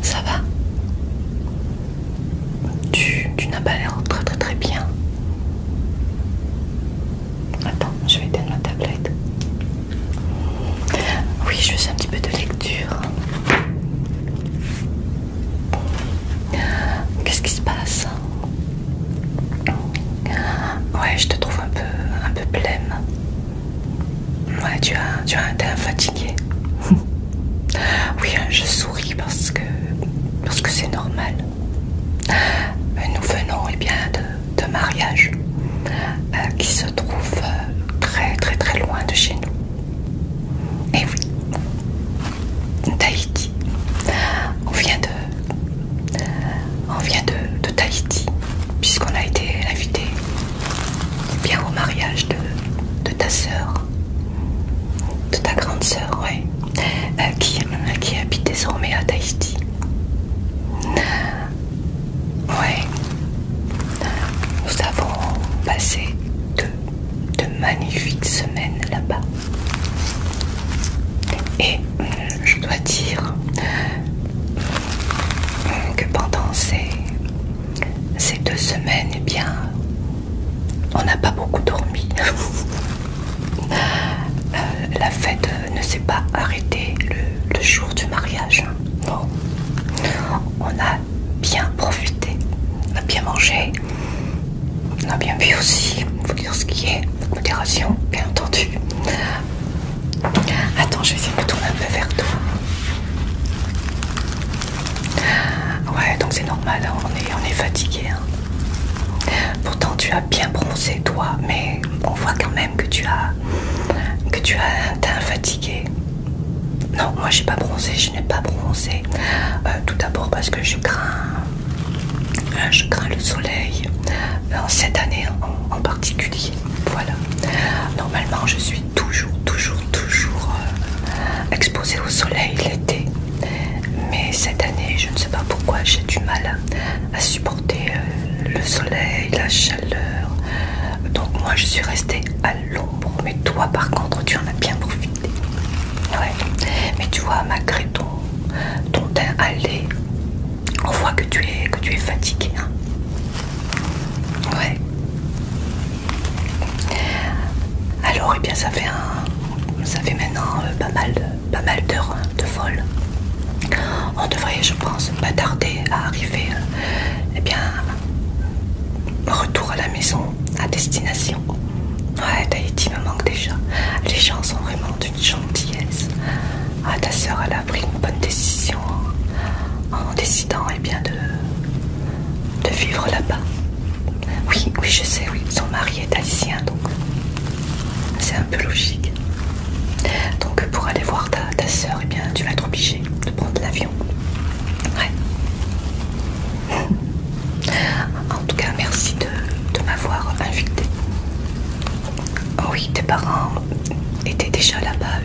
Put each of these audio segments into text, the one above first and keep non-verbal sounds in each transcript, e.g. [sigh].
Ça va Tu, n'as pas l'air très très très bien. Attends, je vais donner ma tablette. Oui, je fais un petit peu de lecture. Qu'est-ce qui se passe Ouais, je te trouve un peu, un peu blême Ouais, tu as, tu as, fatigué. [laughs] oui, hein, je souris parce que, parce que c'est normal. Nous venons, et eh bien, de, mariage euh, qui se trouve euh, très, très, très loin de chez nous. Et oui, Tahiti. On vient de, on Tahiti, puisqu'on a été invité bien au mariage de, ta sœur, de ta grande sœur, ouais, euh, qui, euh, qui habite désormais à Tahiti. Ouais. Nous avons passé deux, magnifiques semaines là-bas. Et euh, je dois dire euh, que pendant ces, ces deux semaines, et eh bien, on n'a pas beaucoup dormi. [laughs] Euh, la fête ne s'est pas arrêtée le, jour du mariage. Bon, On a bien profiter, on a bien mangé, on a bien bu aussi, faut dire ce qui est, modération bien entendu. Attends, je vais essayer de tourner un peu vers toi. Ouais, donc c'est normal, hein, on, est, fatigué. Hein. Pourtant tu as bien bronzé toi, mais on voit quand même que tu as, que tu as un teint fatigué non, moi j'ai pas bronzé, je n'ai pas bronzé. Euh, tout d'abord parce que je crains, euh, je crains le soleil euh, cette année en, particulier. Voilà. Normalement, je suis toujours, toujours, toujours exposée au soleil l'été. Mais cette année, je ne sais pas pourquoi, j'ai du mal à, supporter le soleil, la chaleur. Donc moi, je suis restée à l'ombre. Mais toi, par contre, tu en as bien profité. Ouais. Mais tu vois, malgré ton, ton teint allé, on voit que tu es, que tu es fatigué. Hein. Ouais. Alors, et eh bien, ça fait un, ça fait maintenant euh, pas mal, pas mal d'heures hein, de vol. On devrait, je pense, pas tarder à arriver, Et euh, eh bien, Retour à la maison, à destination. Ouais, Tahiti me manque déjà. Les gens sont vraiment d'une gentillesse. Ah, ta soeur, elle a pris une bonne décision hein, en décidant eh bien, de, vivre là-bas. Oui, oui, je sais, oui. Son mari est haïtien, donc c'est un peu logique. Donc pour aller voir ta, soeur, eh bien, tu vas être obligé de prendre l'avion. [laughs] En tout cas, merci de, m'avoir invité. Oh oui, tes parents étaient déjà là-bas,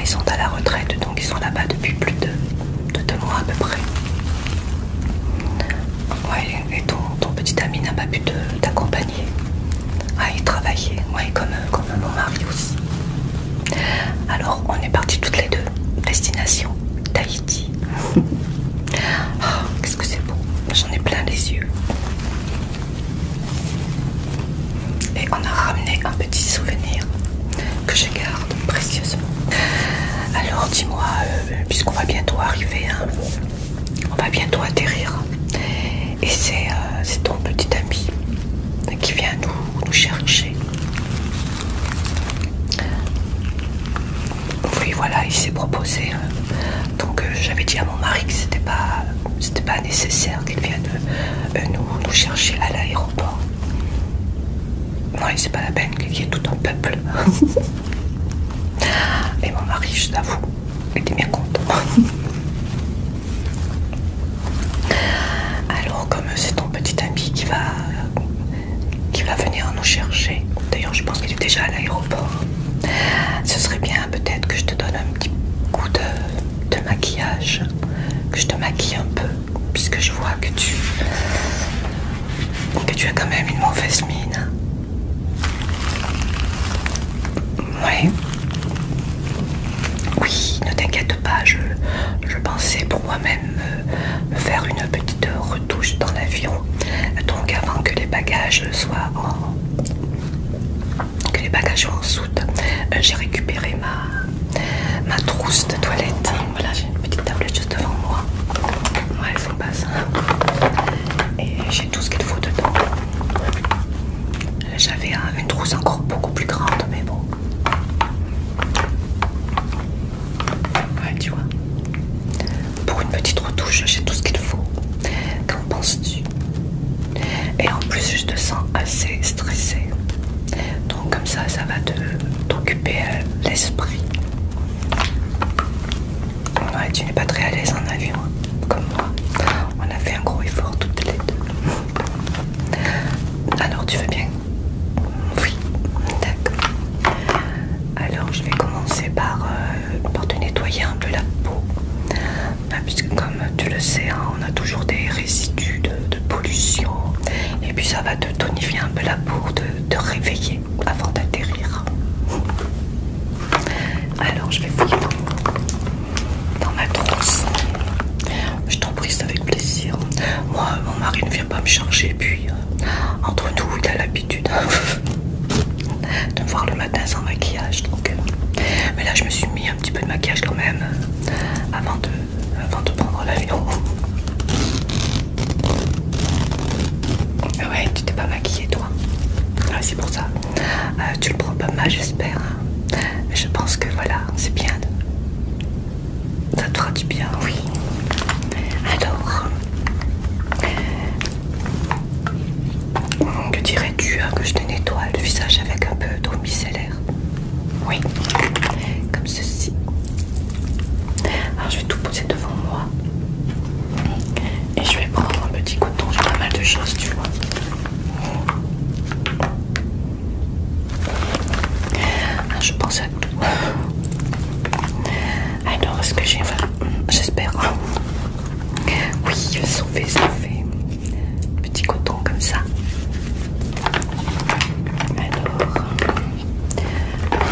ils sont à la retraite, donc ils sont là-bas depuis plus de, deux mois à peu près. Ouais, et ton, petit ami n'a pas pu t'accompagner. Ah, il travaillait, ouais, comme mon mari aussi. Alors on est partis toutes les deux. Destination Tahiti. [laughs] Ah, qu'est-ce que c'est beau. J'en ai plein les yeux. Et on a ramené un petit souvenir que je garde précieusement. Alors dis-moi, euh, puisqu'on va bientôt arriver, hein, on va bientôt atterrir. Et euh, c'est ton petit ami qui vient nous nous chercher. Oui, voilà, il s'est proposé. Hein. Donc, euh, j'avais dit à mon mari que c'était pas, c'était pas nécessaire qu'il vienne euh, nous, nous chercher à l'aéroport. Oui, c'est pas la peine qu'il y ait tout un peuple. [laughs] Et mon mari, je t'avoue, était bien content. [laughs] Alors comme c'est ton petit ami qui va, qui va venir nous chercher, d'ailleurs je pense qu'il est déjà à l'aéroport, ce serait bien peut-être que je te donne un petit coup de, maquillage, que je te maquille un peu, puisque je vois que tu, que as quand même une mauvaise mine. Oui. Oui, ne t'inquiète pas, je, je pensais pour moi-même faire une petite retouche dans l'avion donc avant que les bagages soient en que les bagages soient en soute j'ai récupéré ma, ma trousse de toilette voilà j'ai une petite tablette juste devant moi ouais elles sont ça. et j'ai tout ce qu'il faut dedans j'avais une trousse encore beaucoup plus grande mais bon Ouais, tu vois. Pour une petite retouche, j'ai tout ce qu'il faut. Qu'en penses-tu Et en plus, je te sens assez stressée. Donc comme ça, ça va t'occuper euh, l'esprit. Ouais, tu n'es pas très à l'aise en avion, hein, comme moi. On a fait un gros effort toutes les deux. Alors tu veux bien oui, d'accord. Alors je vais commencer par, euh, te nettoyer un peu la peau. Bah, puisque comme tu le sais, hein, on a toujours des résidus de, pollution. Et puis ça va te tonifier un peu la peau, te, te réveiller avant d'atterrir. Alors je vais fouiller dans ma trousse. Je t'en prie, avec plaisir. Moi, mon mari ne vient pas me changer puis euh, entre nous, il a l'habitude [laughs] de me voir le matin sans maquillage. Euh, mais là, je me suis mis un petit peu de maquillage quand même euh, avant, de, avant de prendre l'avion. Ouais, tu t'es pas maquillée, toi. c'est pour ça. tu le prends pas mal, j'espère. Je pense que voilà, c'est bien ça te fera du bien, oui. Alors, que dirais-tu hein, que je te nettoie le visage avec un peu d'eau micellaire Oui, comme ceci. Alors, je vais tout poser devant moi. Et je vais prendre un petit coton, j'ai pas mal de choses, tu vois. Ah, je pense à tout. Alors, est-ce que j'ai J'espère. Oui, sauf, fait Petit coton comme ça. Alors,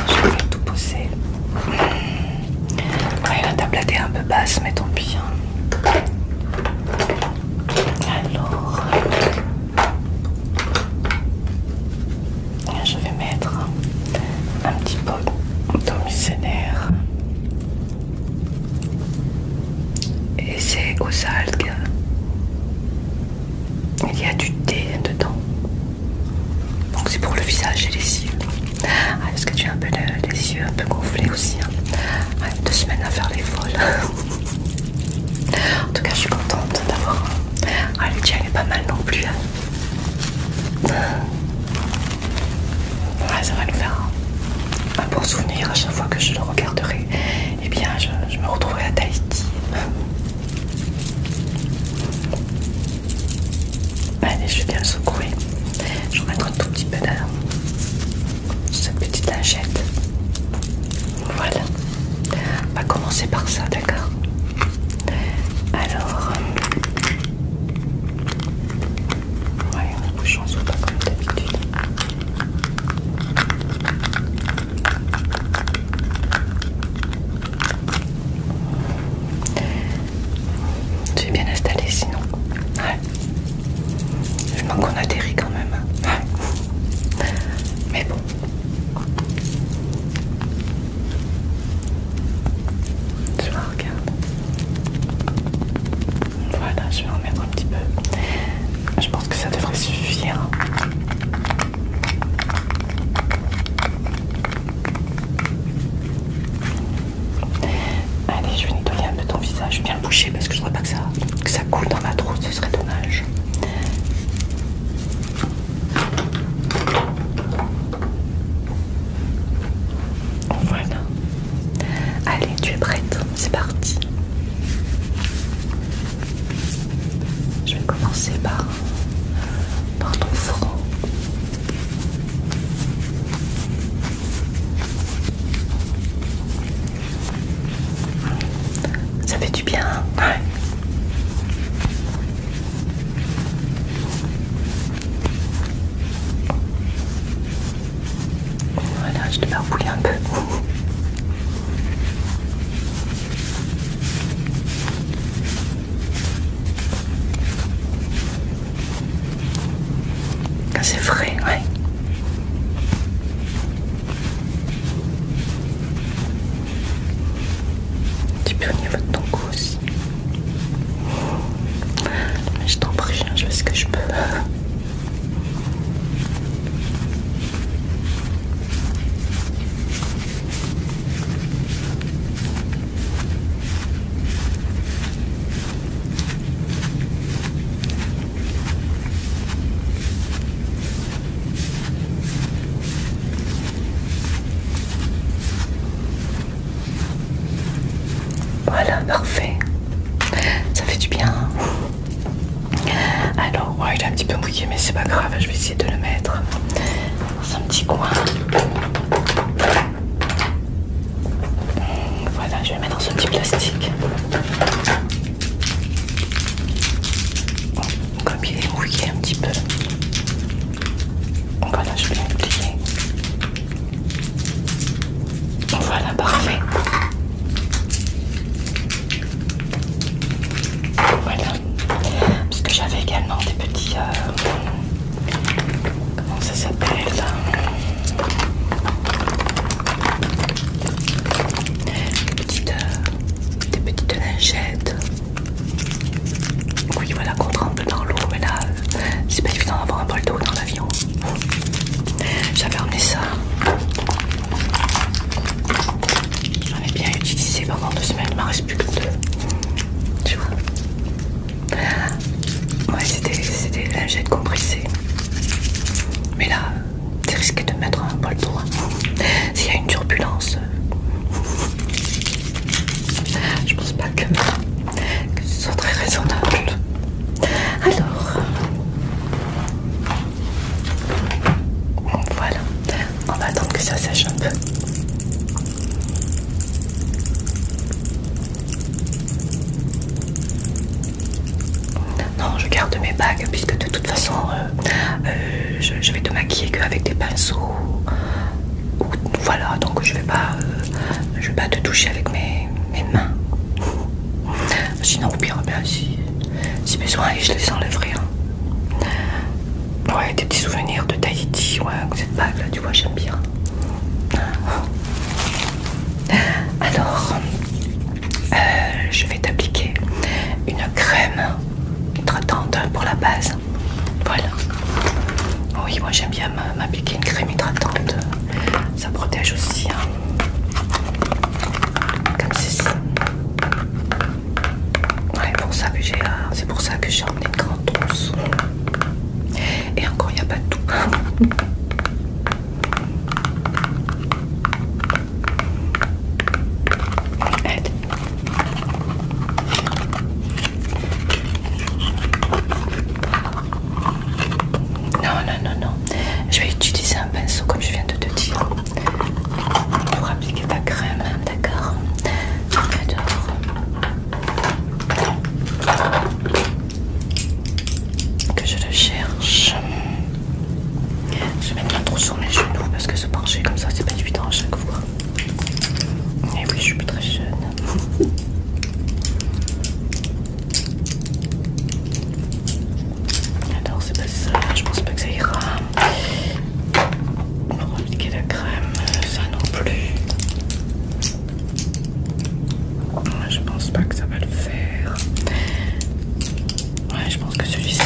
je vais tout pousser. la table est un peu basse, mais tant pis. Hein. Alors, je vais mettre un petit peu d'eau Et c'est aux algues. Il y a du thé dedans. Donc c'est pour le visage et les yeux. Est-ce ah, que tu as un peu les yeux un peu gonflés aussi hein. ah, Deux semaines à faire les folles. [laughs] En tout cas, je suis contente d'avoir. Ah, le elle est pas mal non plus. Hein. Ouais, ça va lui faire un, bon souvenir à chaque fois que je le regarderai. Et eh bien, je, me retrouverai à Tahiti. Allez, je vais bien secouer. Je vais mettre un tout petit peu de cette petite lingette. Voilà. On va commencer par ça, d'accord Alors... Euh, ouais, on bouge, on pas comme d'habitude. Tu es bien installé sinon. Ouais. Je manque qu'on atterrit quand même. Hein. Ouais. Mais bon, je regarde. Voilà, je vais en mettre un petit peu. Je pense que ça devrait suffire. Allez, je vais nettoyer un peu ton visage. Je bien le boucher parce que je ne voudrais pas que ça, que ça coule dans ma trousse, ce serait dommage. Voilà. Allez, tu es prête, c'est parti. Je vais commencer par, par ton front. Ça fait du bien. Hein ouais. Voilà, je te bouillant un peu. C'est frais, ouais. Un petit peu au ton cou aussi. Mais je t'en prie, je vais ce que je peux. Voilà, parfait. Ça fait du bien. Hein. Alors, il est un petit peu mouillé, mais c'est pas grave. Je vais essayer de le mettre dans un petit coin. Voilà, je vais le mettre dans ce petit plastique comme il est mouillé un petit peu. Voilà, je vais le Voilà, parfait. Voilà. Parce que j'avais également des petits... Euh, comment ça s'appelle euh, des petites, euh, des petites lingettes oui, voilà, qu'on tremble dans l'eau, mais là, euh, c'est pas évident d'avoir un bol d'eau dans l'avion. J'avais emmené ça. J'en ai bien utilisé pendant deux semaines, il m'en reste plus que deux. Tu vois Ouais, c'était un lingettes compressé, Mais là, c'est risqué de mettre un bol d'eau. Hein. S'il y a une turbulence, je pense pas que, ce soit très raisonnable. Alors, voilà. On va attendre que ça sèche un peu. Non, je garde mes bagues puisque de toute façon, euh, euh, je, vais te maquiller qu'avec des pinceaux. Voilà, donc je vais pas, euh, je vais pas te toucher avec mes, mains. [laughs] Sinon, ou bien, si, si besoin, je les enlèverai. Hein. Ouais, des petits souvenirs de Tahiti, ouais, cette bague là, tu vois, j'aime bien. [laughs] Alors, euh, je vais t'appliquer une crème hydratante pour la base. Voilà. Oui, moi j'aime bien m'appliquer une crème hydratante. Ça protège aussi. Hein. Comme ceci. Euh, c'est pour ça que j'ai emmené une grande trousse. Et encore, il n'y a pas tout. [laughs] Non, non, non, non. Je vais utiliser un pinceau comme je viens de te dire pour appliquer ta crème, d'accord que je le cherche. Je vais mettre trop sur mes genoux parce que se pencher comme ça, c'est pas évident à chaque fois. Et eh oui, je suis pas très jeune. [laughs] Attends, c'est pas ça, je pense pas que ça ira. On appliquer la crème, ça non plus. Je pense pas que ça va le faire. Ouais, je pense que celui-ci.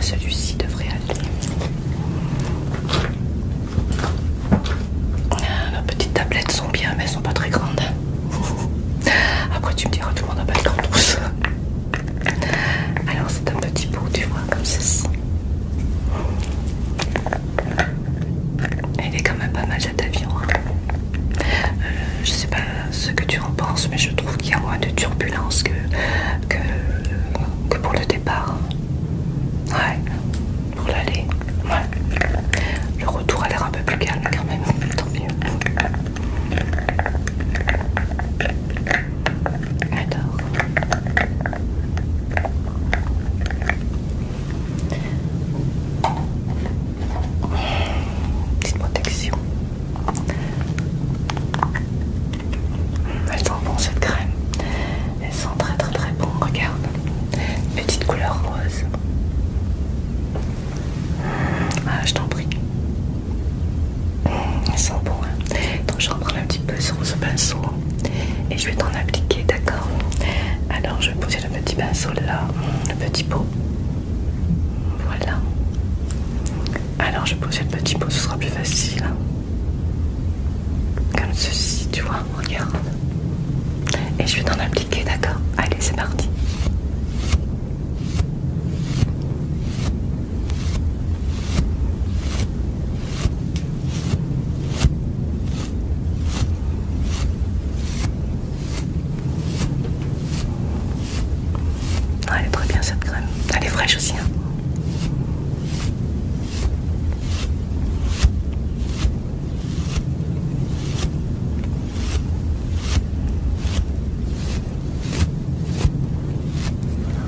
Celui-ci devrait aller. Ah, nos petites tablettes sont bien, mais elles sont pas très grandes. Après, tu me diras, tout le monde n'a pas de grandes Alors, c'est un petit bout, tu vois, comme ceci. Il est quand même pas mal cet avion. Hein. Euh, je sais pas ce que tu on pense mais je trouve qu'il y a moins de turbulences que, que, que pour le départ. Ouais, pour l'aller. Le retour a l'air un peu plus calme quand même, tant mieux. J'adore. Petite protection. Elle elles bon cette crème. elle sent très très très bon. Regarde, petite couleur rose. ah, je t'en prie. elle mmh, elles sont Donc hein. je prends un petit peu sur ce pinceau et je vais t'en appliquer, d'accord Alors je vais poser le petit pinceau là, le petit pot. Voilà. Alors je poser le petit pot, ce sera plus facile. Hein. Comme ceci, tu vois, regarde. Et je vais t'en appliquer, d'accord Allez, c'est parti. Ah, elle est très bien cette crème. Elle est fraîche aussi. Hein.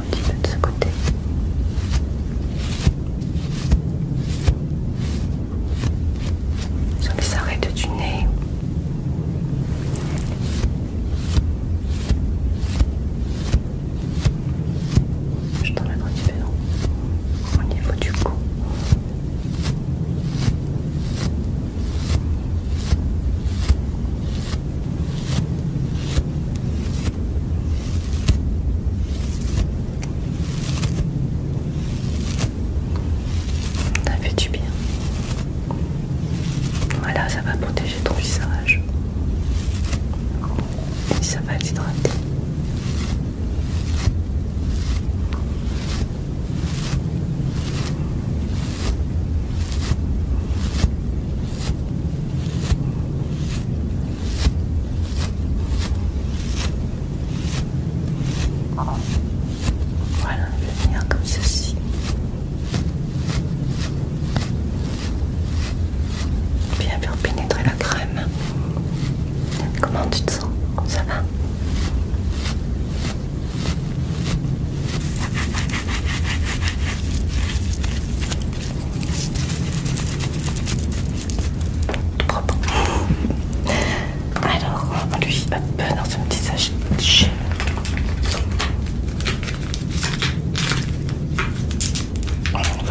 Un petit peu de ce côté. Sur les arêtes du nez. Je t'en un différent au niveau du cou. Ça fait du bien. Voilà, ça va protéger ton visage. Et ça va être l'hydrater. Voilà, venir comme ceci. Bien bien pénétrer la crème. Comment tu te sens Ça va Propre. Alors, lui, peu dans ce petit sachet. Voilà. Alors,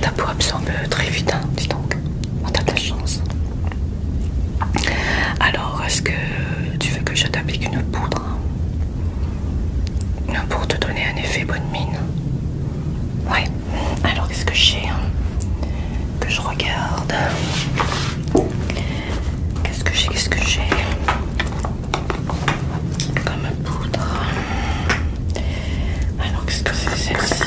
ta peau absorbe très vite, hein, dis donc. t'as de la chance. Alors, est-ce que tu veux que je t'applique une poudre pour te donner un effet bonne mine. Ouais. Alors qu'est-ce que j'ai hein, Que je regarde. Qu'est-ce que j'ai Qu'est-ce que j'ai Comme poudre. Alors qu'est-ce que c'est celle-ci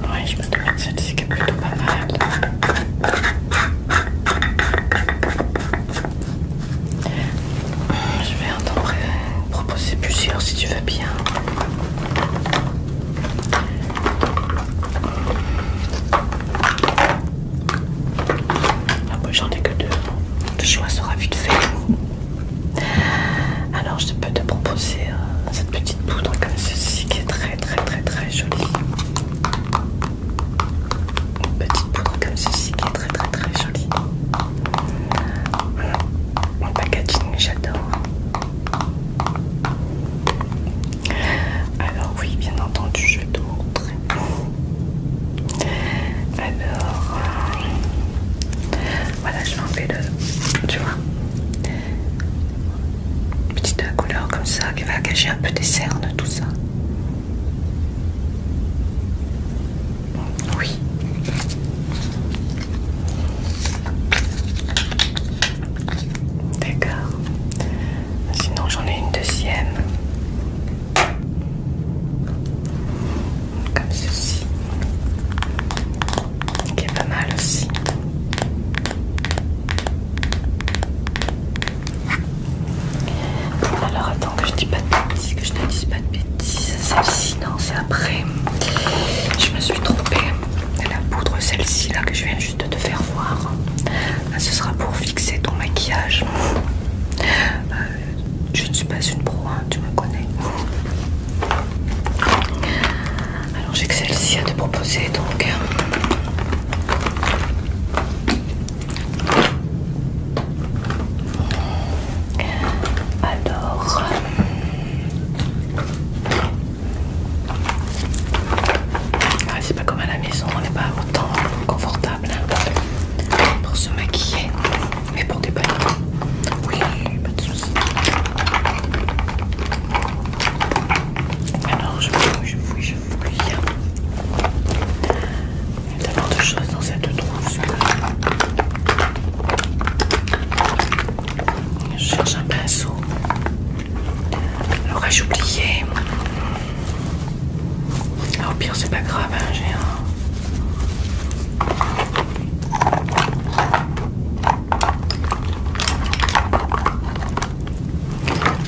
Ouais, je me demande celle-ci qui est plutôt pas mal. Je vais en euh, proposer plusieurs si tu veux bien. Ah, moi j'en ai que deux. Le choix sera vite fait. Alors je peux te proposer euh, cette petite poudre comme ceci qui est très très très très jolie une petite poudre comme ceci qui est très très très jolie. Mon packaging, j'adore. Alors oui, bien entendu, je vais te montrer. Alors, euh, voilà, je vais enlever le, tu vois, petite couleur comme ça qui va cacher un peu des cernes, tout ça. Oui. D'accord. Sinon j'en ai une deuxième. Comme ceci. Qui est pas mal aussi. Alors attends que je dis pas de bêtises, que je ne dise pas de bêtises. Celle-ci, non, c'est après. Je me suis trompée. La poudre, celle-ci là que je viens juste de te faire voir. ce sera pour fixer ton maquillage. Euh, je ne suis pas une pro, hein, tu me connais. Alors j'ai que celle-ci à te proposer donc. Alors, euh, ah, c'est pas comme à la maison, on n'est pas autant confortable hein, pour se maquiller, mais pour des oui, pas de soucis. Alors, je fouille, je il y a d'abord de choses dans cette trousse je cherche un pinceau. L'aurais-je oublié ah, Au pire, c'est pas grave, hein, j'ai un.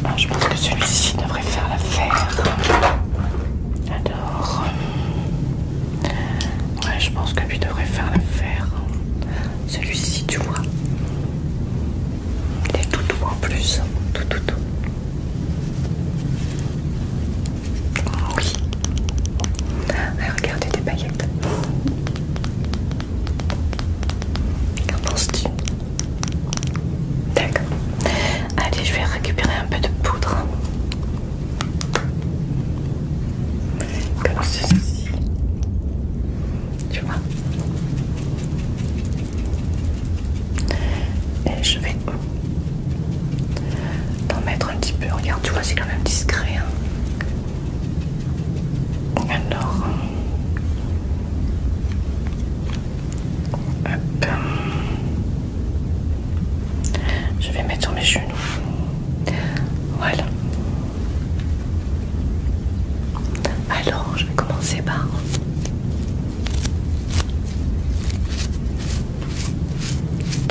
Ah, je pense que celui-ci devrait faire l'affaire. Alors, euh, ouais, je pense que lui devrait faire l'affaire. Celui-ci, tu vois, il est tout doux en plus, tout tout Oh Oui. regardez des paillettes. Qu'en penses-tu D'accord. Allez, je vais récupérer un peu de poudre. Comme ceci. Tu vois Et je vais t'en mettre un petit peu. Regarde, tu vois, c'est quand même discret. Hein. Alors, je vais mettre sur mes genoux. Voilà. Alors, je vais commencer par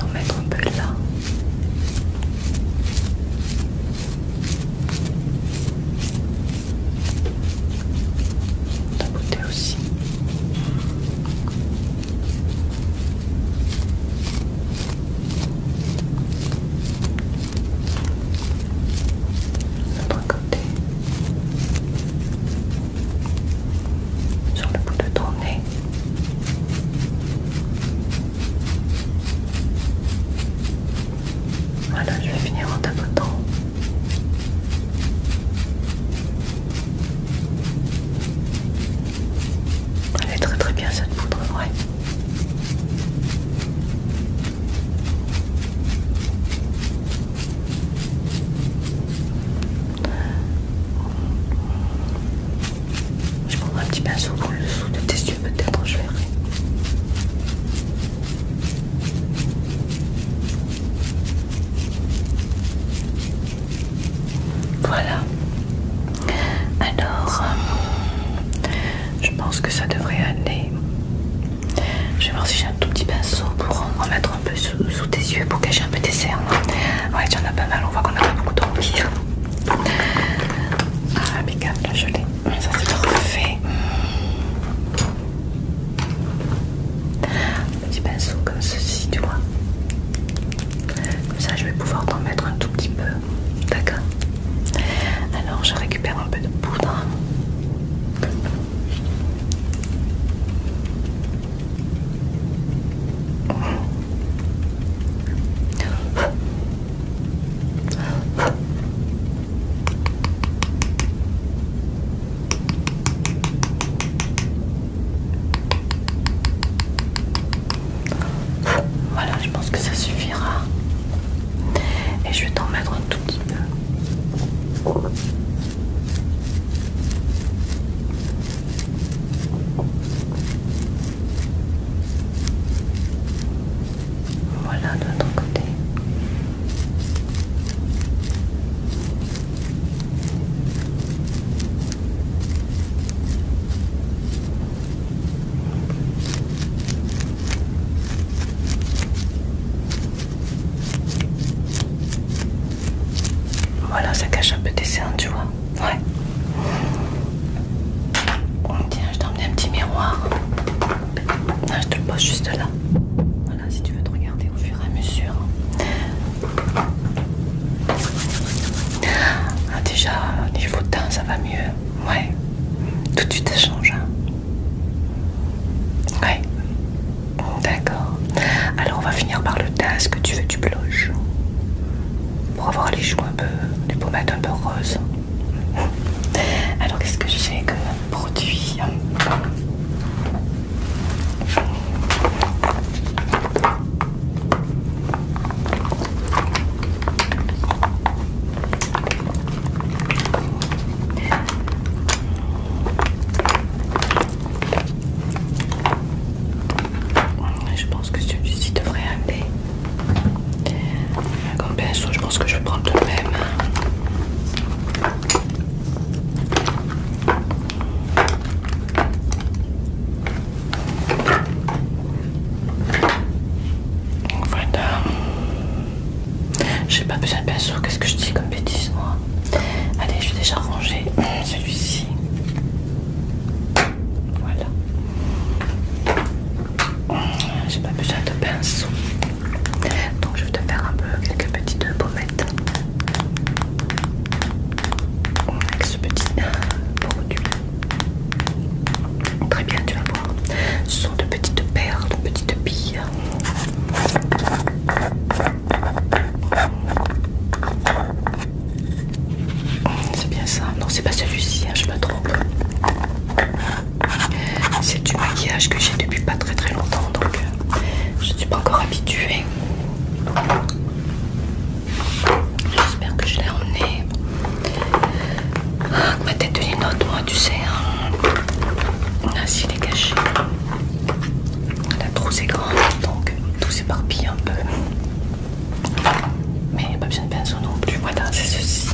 en mettre un peu là. La côté aussi. L'autre côté. Sur le bout de ton nez. Voilà, je vais finir en tapotant elle est très très bien cette poudre, ouais. Je prendrai un petit pinceau dans le dessous de tes yeux peut-être, je verrai. Voilà. Alors, euh, je pense que ça devrait aller. Je vais voir si j'ai un tout petit pinceau pour en mettre un peu sous, tes yeux pour cacher un peu tes cernes. Ouais, tu en as pas mal, on voit qu'on a pas beaucoup de hein. Ah, impeccable, je l'ai. Ça c'est parfait. Un petit pinceau comme ceci, tu vois. Comme ça, je vais pouvoir t'en mettre un tout petit peu. D'accord Alors, je récupère un peu de poudre. Voilà, je pense que ça suffira. Et je vais t'en mettre un tout petit peu. Voilà de l'autre côté. Voilà, ça cache un peu tes cernes, tu vois. Ouais. Tiens, je t'emmène un petit miroir. je te le pose juste là si tu veux te regarder au fur et à mesure. Ah, déjà, niveau de teint, ça va mieux. Ouais, tout de suite ça change. Hein. Ouais, d'accord. Alors, on va finir par le teint. Est-ce que tu veux du blush pour avoir les joues un peu, les pommettes un peu roses. Alors qu'est-ce que j'ai que produit je pense que celui-ci devrait arriver comme pinceau je pense que je vais prendre le même voilà. J'ai pas besoin, de pinceau qu'est-ce que je dis comme bêtise, moi. Allez, je vais déjà ranger [clears throat] celui-ci. Voilà. J'ai pas besoin de pinceau. Donc je vais te faire un peu quelques petites pommettes avec ce petit produit. Euh, très bien, tu vas voir. Ce sont de petites perles, de petites billes. C'est bien ça. Non, c'est pas celui-ci, hein, je me trompe. C'est du maquillage que j'ai depuis pas très très longtemps, donc euh, je ne suis pas encore habituée. J'espère que je l'ai emmené. Ah, ma tête de note, moi, tu sais. Hein. Ah, si, elle est caché La trousse est grande, donc tout s'éparpille un peu. Mais il n'y a pas besoin de pinceau non plus. Voilà, c'est ceci.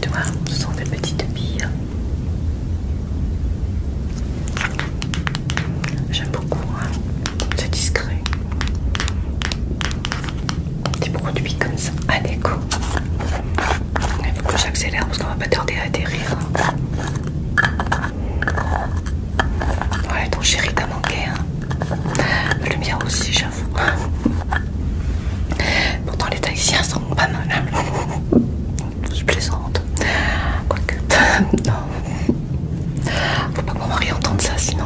Tu vois, ce sont des petites billes. J'aime beaucoup, hein, discret. c'est discret. Des produits comme ça, à l'écho. Il faut que j'accélère parce qu'on va pas tarder à atterrir. Ouais, ton chéri t'a manqué. Hein. Le aussi, j'avoue. Pourtant, les Tahitiens sont pas mal. Hein je plaisante. Quoique, [laughs] non. Faut pas que mon mari entende ça sinon.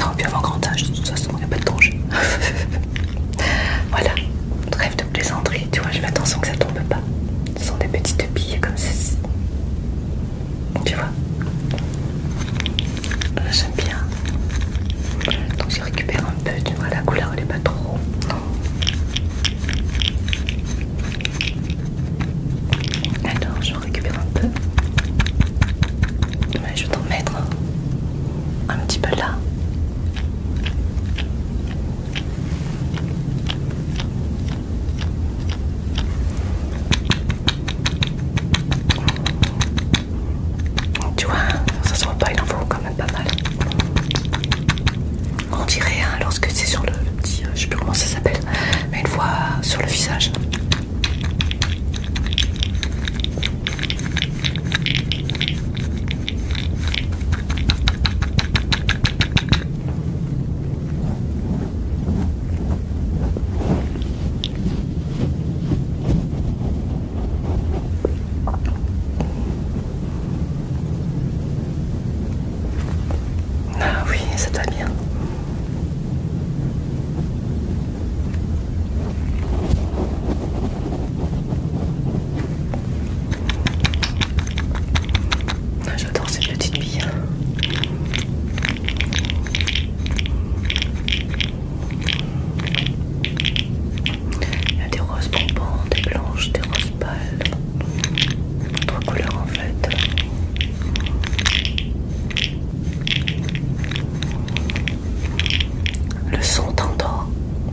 Non, bien avant grand âge, de toute façon, il n'y a pas de danger. [laughs] voilà, rêve de plaisanterie, tu vois, je fais attention que ça tombe pas. Ce sont des petites billes comme ceci. Tu vois J'aime bien je récupère un peu, tu vois, la couleur elle est pas trop. Alors je récupère un peu. je vais t'en mettre un petit peu là. Tu vois, ça se voit pas, il en faut comme pas mal. On dirait hein, lorsque c'est sur le, petit, je euh, je sais plus comment ça s'appelle, mais une fois sur le visage. Ah oui, ça te va bien. Ah, J'adore cette petite bille. Il y a des roses bonbons, des blanches, des roses pâles. Trois couleurs en fait. Le son t'endort.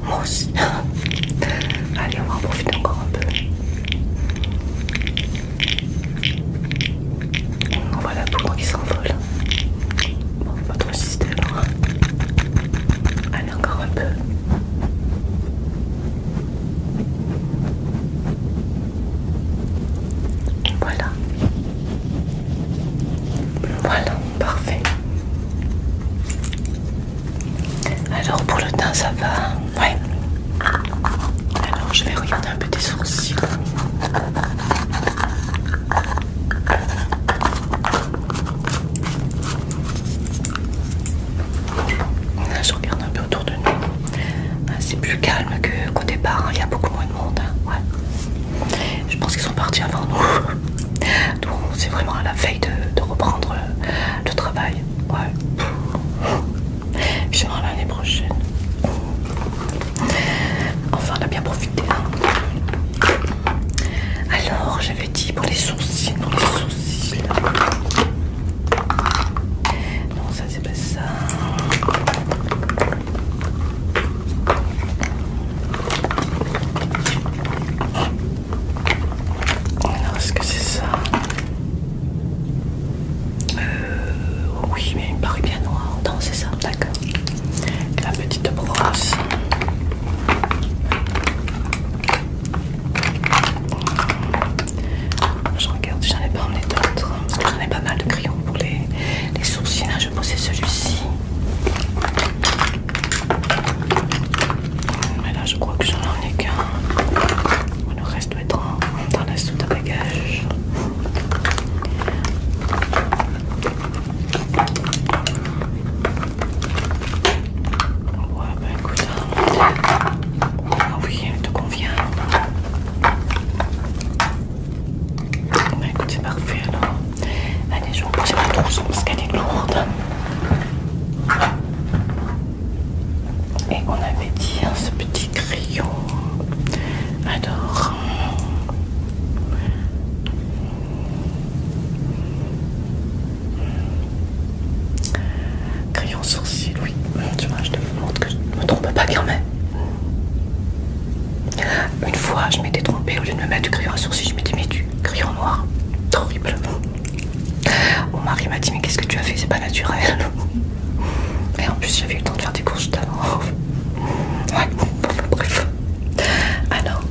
Moi aussi. [laughs] Allez, on va en profiter encore un peu. On voit la poudre qui s'envole. Bon, votre système. Hein encore un peu. Voilà. Voilà, parfait. Alors pour le teint, ça va Ouais. Alors je vais regarder un peu tes sourcils je regarde un peu autour de nous. Ah, c'est plus calme qu'au départ. Hein. Il y a beaucoup moins de monde. Hein. Je pense qu'ils sont partis avant nous. [laughs] Donc, c'est vraiment à la veille de, reprendre euh, le, travail. Ouais. l'année prochaine. Enfin, on a bien profité. Hein. Alors, j'avais petit pour les sourcils, les sourcils. Non, ça c'est pas ça. Alors est-ce que c'est ça euh, Oui, mais il me paraît bien noir. Non, c'est ça, d'accord. La petite brosse. Je regarde, j'en ai pas emmené d'autres. Parce que j'en ai pas mal de crayons pour les, les sourcils. Là, je poser celui-ci. Mais là, je crois que j'en ai qu'un. Le reste doit être dans la soute à bagages. Ouais, bah écoute, ah oui, elle te convient. écoute, c'est parfait alors. Allez, je vais repousser ma trousse parce qu'elle est lourde. Et on avait dit hein, ce petit crayon. Alors. Crayon sourcil, oui. Tu vois, je te montre que je ne me trompe pas quand Une fois, je m'étais trompée. Au lieu de me mettre du crayon à sourcil, je m'étais mis du crayon noir. horriblement. Mon mari m'a dit, mais qu'est-ce que tu as fait C'est pas naturel. Et en plus, j'avais eu le temps de faire des courses tout à Ouais, bref. Alors,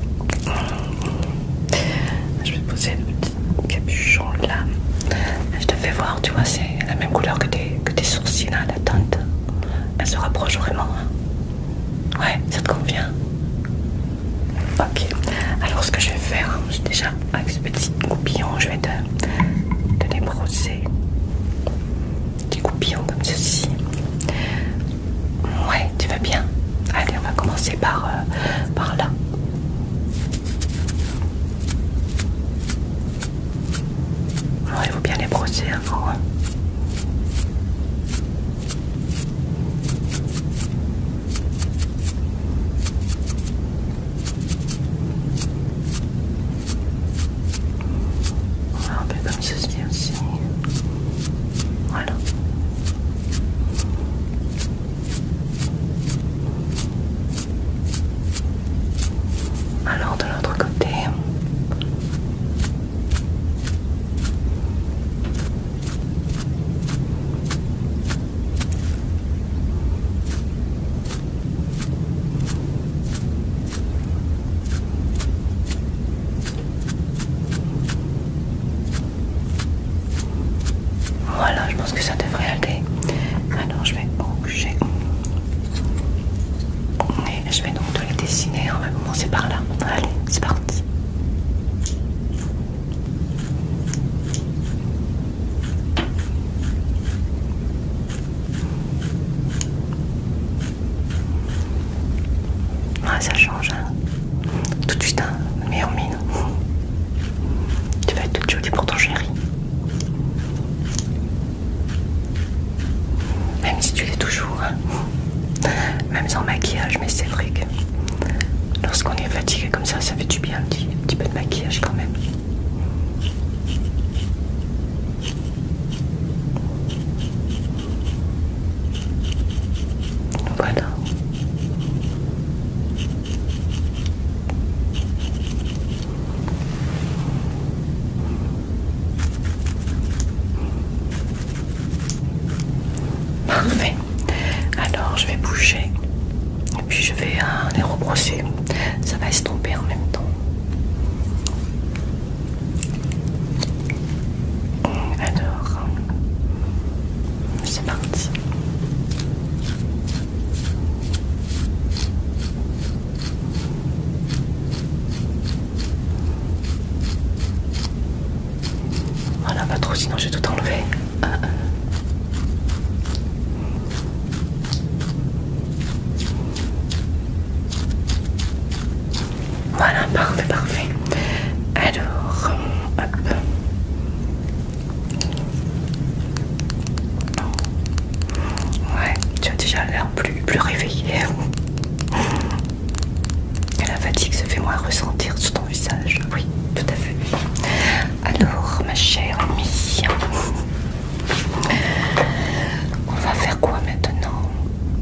je vais poser le petit capuchon là. Je te fais voir, tu vois, c'est la même couleur que tes, que tes sourcils, là, hein, la teinte. Elle se rapproche vraiment. Hein. Ouais, ça te convient Ok. Alors ce que je vais faire, c'est hein, déjà avec ce petit goupillon, je vais te, débrosser. Des goupillons comme ceci. Ouais, tu vas bien. Allez, on va commencer par, euh, par là. Alors il faut bien les brosser avant. Hein. Un peu comme ceci aussi. Hein, voilà. Alors de l'autre côté. Voilà, je pense que ça devrait aller. Alors je vais bouger. Et je vais donc te les dessiner en même temps. c'est par là. Allez, c'est parti. Ah, ça Hein. Tout de suite, hein, mais mine. Tu vas être toute jolie pour ton chéri. Même si tu l'es toujours. Hein. Même sans maquillage, mais c'est vrai que lorsqu'on est fatigué comme ça, ça fait du bien un petit peu de maquillage quand même. Voilà. Parfait. Alors je vais bouger et puis je vais euh, les rebrosser. Ça va estomper en même temps. Alors, c'est parti. Voilà, ah pas trop, sinon je vais tout enlever. Voilà, parfait, parfait. Alors, Ouais, tu as déjà l'air plus, plus réveillé. Et la fatigue se fait moins ressentir sur ton visage. Oui, tout à fait. Alors, ma chère amie, on va faire quoi maintenant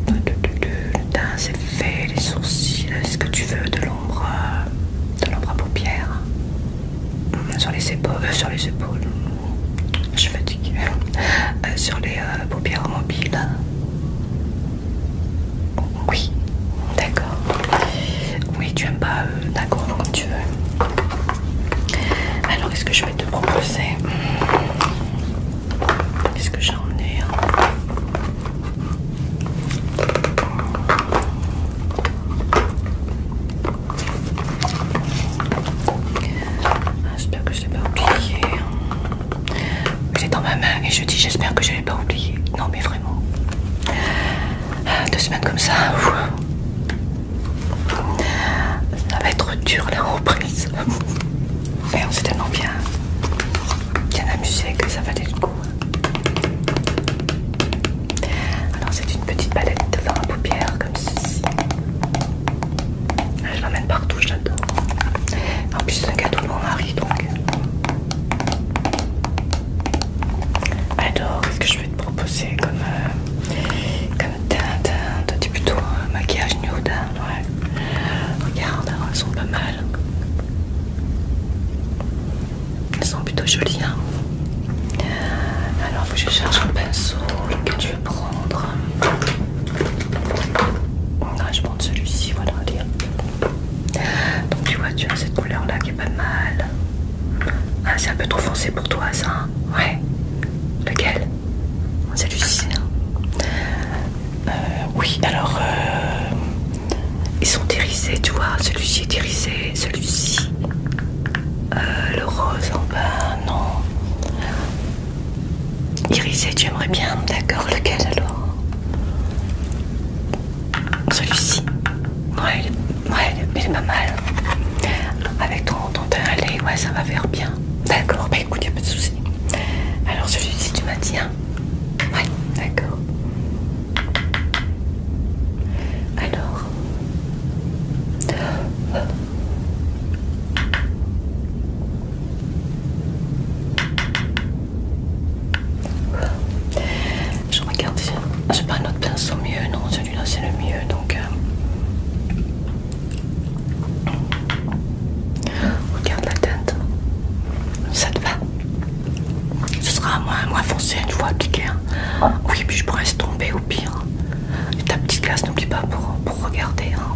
Le teint, c'est fait, les sourcils. Est-ce que tu veux de l'ombre de l'ombre à paupières euh, sur les épaules, euh, sur les épaules, je suis fatiguée, euh, sur les paupières mobiles. Oui, d'accord. Oui, tu aimes pas, d'accord, comme tu veux. Alors, est-ce que je vais te proposer Qu'est-ce que j'ai emmené hein ah, j'espère que je l'ai pas oublié. Hein. J'ai dans ma main et je dis j'espère que je l'ai pas oublié. Non mais vraiment. Ah, deux semaines comme ça, ça va être dur la reprise. Mais on s'est tellement bien, bien amusé que ça valait le coup. Alors c'est une petite palette de fard à paupières comme ceci. Ah, je l'emmène partout, j'adore. En plus c'est un cadeau de mon mari donc. Alors qu'est-ce que je vais te proposer comme, euh, comme teinte hein. plutôt un maquillage nude Regarde, hein, elles sont pas mal. Ils sont plutôt jolis. Hein Alors je cherche un pinceau. Lequel tu veux prendre ah, Je prends celui-ci. Voilà. Donc tu vois, tu as cette couleur-là qui est pas mal. Ah, c'est un peu trop foncé pour toi, ça. Hein. Ouais. Lequel Celui-ci. Hein. Euh, oui, alors... Euh, ils sont irisés, tu vois. Celui-ci est irisé, celui-ci. Euh, le rose en bas, non. Irisé, tu aimerais bien, d'accord. Lequel alors Celui-ci. Ouais, ouais, il est pas mal. Avec ton, ton ouais, ça va faire bien. D'accord, bah écoute, y a pas de souci. Alors celui-ci, tu m'as dit, hein? Ouais, d'accord. Alors, je regarde, j'ai pas un autre pinceau mieux, non, celui-là c'est le mieux donc. Euh, regarde la teinte, ça te va. Ce sera moins, moins foncé une fois appliqué. Hein. Ah. Oui, puis je pourrais se tomber au pire. Et ta petite glace, n'oublie pas pour, regarder. Hein.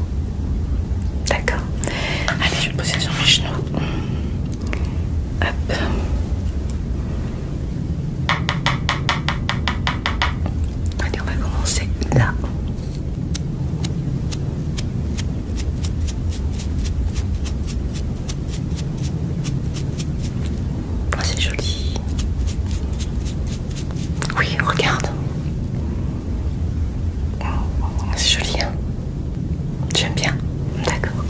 D'accord. Allez, je vais poser sur mes genoux. Hop. Allez, on va commencer là. Oh, c'est joli. Oui, regarde. C'est joli, hein J'aime bien. D'accord.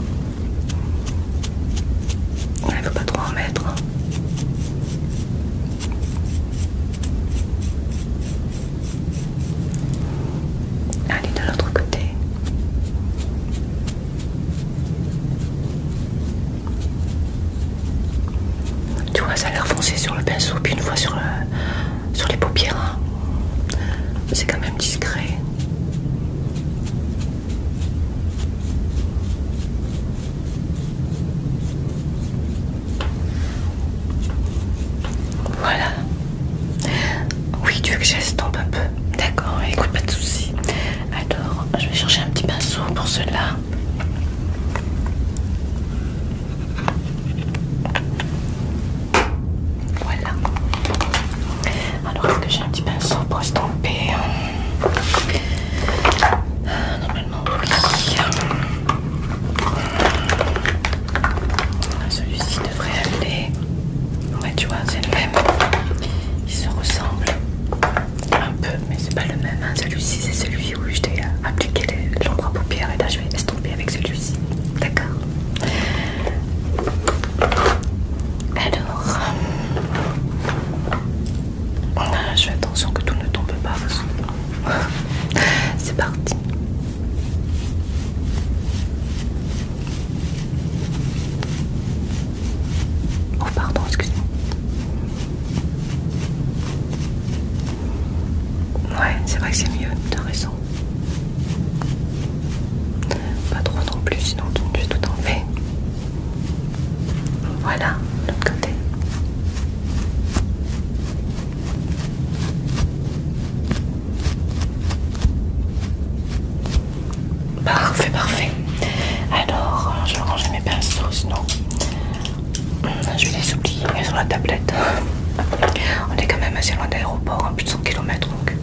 On ne faut pas trop en mettre. Hein. Allez, de l'autre côté. Tu vois, ça a l'air foncé sur le pinceau, puis une fois sur, euh, sur les paupières. Hein. C'est quand même discret. Voilà. Oui, tu veux que j'estompe un peu. D'accord, écoute, pas de soucis. Alors, je vais chercher un petit pinceau pour cela. Voilà. Alors, est-ce que j'ai un petit pinceau pour estomper hein? Normalement, oui. Celui-ci devrait aller. Ouais, tu vois, c'est le même. Ils se ressemblent un peu, mais c'est pas le même. Hein. Celui-ci, c'est celui où je t'ai appliqué l'ombre à paupières et là je vais estomper avec celui-ci. D'accord Alors, je fais attention que tout ne tombe pas. [laughs] c'est parti. Oh pardon, excuse-moi. Ouais, c'est vrai que c'est mieux, t'as raison. Pas trop non plus, sinon tu vas tout enlever. Voilà, l'autre côté. Parfait, parfait. Alors, euh, je vais ranger mes pinceaux, sinon euh, je vais les oublier sur la tablette. [laughs] On est quand même assez loin d'aéroport, l'aéroport, hein, plus de 100 km donc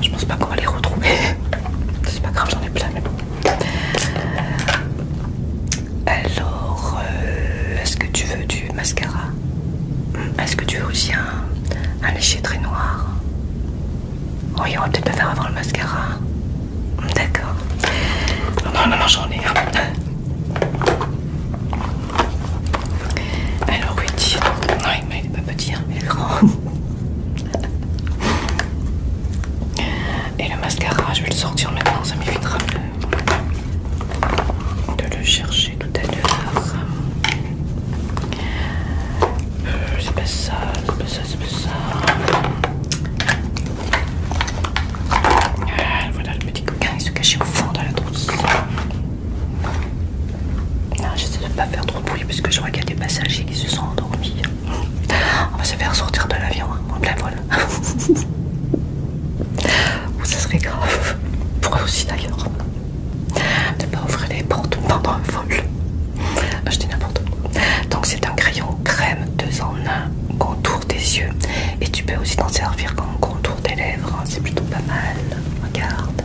je pense pas qu'on va les retrouver. [laughs] C'est pas grave, j'en ai plein, mais bon. Alors, euh, est-ce que tu veux du mascara Est-ce que tu veux aussi un, un lécher très noir oui, on va peut-être pas faire avant le mascara. D'accord. Non, non, non, j'en ai un. Alors, oui, Non, mais il est pas petit, hein, il est grand. Et le mascara, je vais le sortir maintenant, ça m'évitera de, le chercher tout à l'heure. Euh, c'est pas ça, c'est pas c'est ça euh, voilà le petit coquin, il se cachait au fond de la trousse. Non, ah, J'essaie de ne pas faire trop de bruit parce que je vois qu'il y a des passagers qui se sont endormis. On va se faire sortir de l'avion hein, en plein vol. [laughs] ça serait grave. Pour eux aussi d'ailleurs. Ne pas ouvrir les portes pendant un vol. Je n'importe quoi. Donc c'est un crayon crème 2 en 1 contour des yeux. Et tu peux aussi t'en servir comme contour des lèvres. C'est plutôt pas mal. Regarde.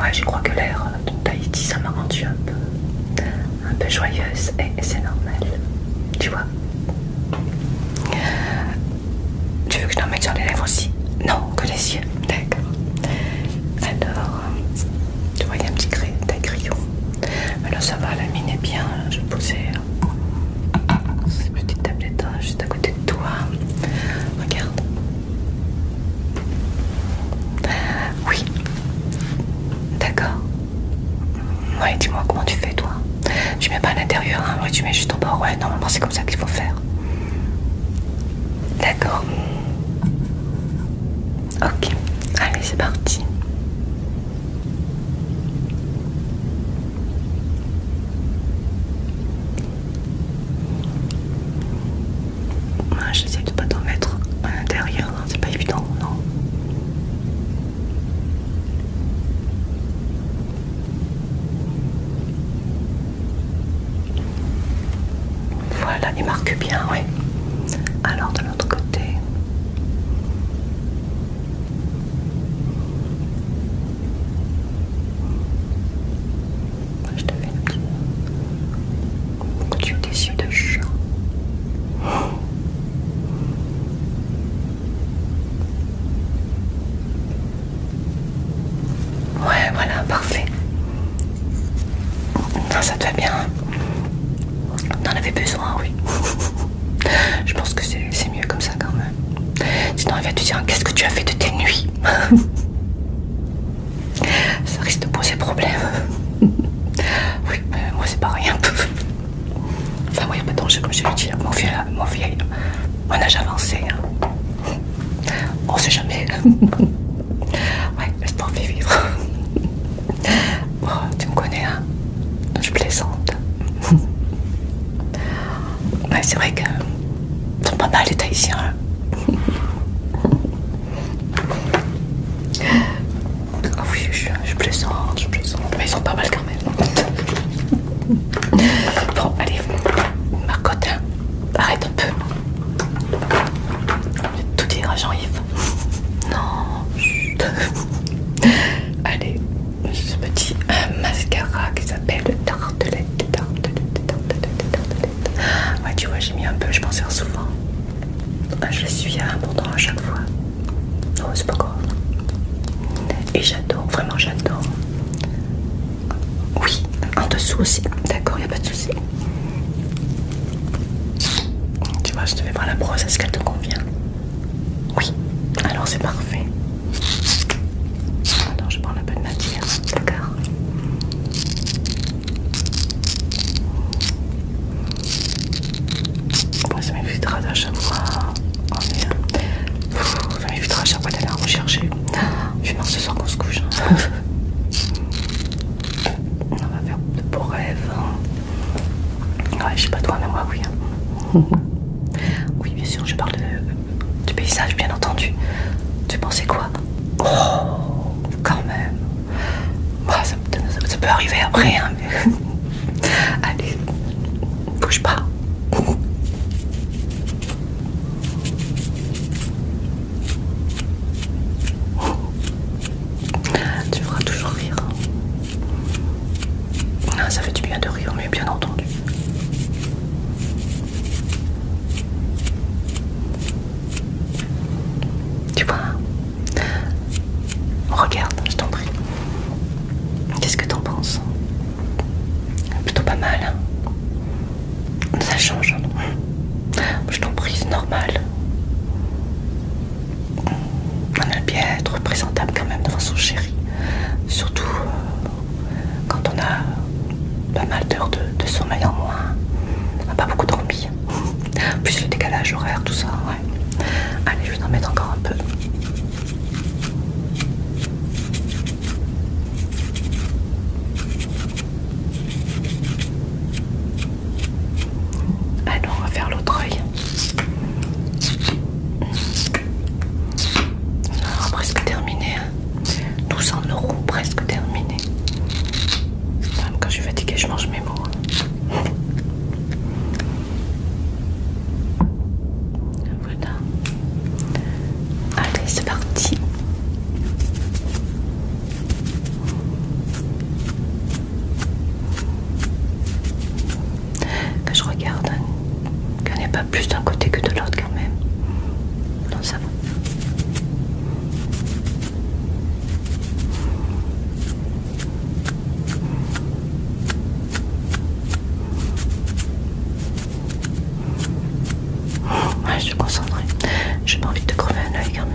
Ouais, je crois que l'air de taïti ça m'a rendu un peu, un peu joyeuse. Et, c'est normal. Tu vois Tu veux que je t'en mette sur les lèvres aussi Non, que les yeux. D'accord. Alors, tu vois il y a un petit taille-crayon mais là ça va la mine est bien je vais hein, ces petites tablettes tablette hein, juste à côté de toi regarde oui d'accord ouais dis-moi comment tu fais toi tu mets pas à l'intérieur hein ouais, tu mets juste en bas ouais non, c'est comme ça qu'il faut faire D'accord. Ok, allez c'est parti. Ah, j'essaie de pas t'en mettre à l'intérieur, hein, c'est pas évident, non voilà, il marque bien, oui. Alors de l'autre côté. Je te fais une petite... Tu es déçu de chien. [gasps] Ouais, voilà, parfait. Non, ça te va bien. on hein. en avait besoin, oui. [laughs] Je pense que c'est mieux comme ça quand même. Sinon, il va te dire Qu'est-ce que tu as fait de tes nuits [laughs] Ça risque de poser problème. [laughs] Oui, mais moi c'est pareil un Enfin, oui, il a pas comme je l'ai dit. Hein. Mon vieil, mon vieil, mon âge avancé. Hein. On sait jamais. Ouais, je pour vivre. [laughs] Oh, tu me connais, hein Je plaisante. [laughs] ouais, c'est vrai que sont pas mal mal les Hein Ah oui, je, je plaisante, je plaisante. Mais ils sont pas mal quand même. [laughs] bon, allez, Marcotte, hein. arrête un peu. Tout à Jean-Yves. [laughs] Non. [laughs] Allez, Ce petit euh, mascara qui s'appelle Tartelette. Tartelette, Ouais, tu vois, j'ai mis un peu, je m'en sers souvent. Je suis à hein, à chaque fois. oh, c'est pas grave. Et j'adore, vraiment j'adore. Oui, en dessous aussi. D'accord, il a pas de souci. Tu vois, je te fais voir la brosse, est-ce qu'elle te convient Oui, alors c'est parfait. Attends, je prends un peu de matière, d'accord bon, Ça m'évitera à chaque mois. Oh merde. Ça m'évitera à chaque fois d'aller en rechercher. Je ce soir qu'on se couche. Hein. [laughs] On va faire de beaux rêves. Je hein. je sais pas toi, mais moi, oui. Hein. [laughs] oui, bien sûr, je parle euh, du paysage, bien entendu. Tu pensais quoi Oh, quand même. Bah, ça, peut arriver après, hein, [laughs] Allez, bouge pas. [gasps] Tu feras toujours rire. Hein. ça fait du bien de rire, mais bien entendu. Tu vois Regarde, je t'en prie. Qu'est-ce que t'en penses Plutôt pas mal. Hein. ça change. Hein. Je t'en prie, c'est normal. On aime bien être présentable quand même devant son chéri. Surtout euh, quand on a pas mal d'heures de, sommeil en moins. On n'a pas beaucoup dormi. Plus le décalage horaire, tout ça, ouais. Allez, je vais en mettre encore un peu. Ah on va faire l'autre œil. Non, presque terminé. 1200 hein. euros, presque terminé. quand je suis fatiguée, je mange mes mots. Hein. Voilà. Allez, c'est parti. Que je regarde, hein. qu'il n'y pas plus d'un côté que de l'autre quand même. Non, ça va. Ah, je suis concentrée. J'ai pas envie de crever un oeil quand même.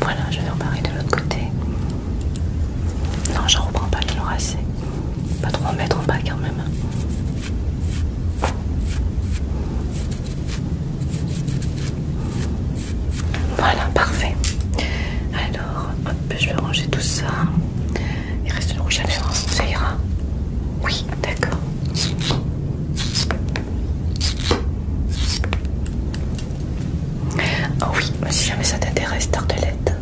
Voilà, je vais reparer de l'autre côté. Non, je reprends pas, j'en aura assez. Pas trop en mettre en bas quand même. Voilà, parfait. Alors, hop, je vais ranger tout ça. Il reste le rouge à lèvres, ça ira. Oui, d'accord. Oh oui, si jamais ça t'intéresse, tartelette.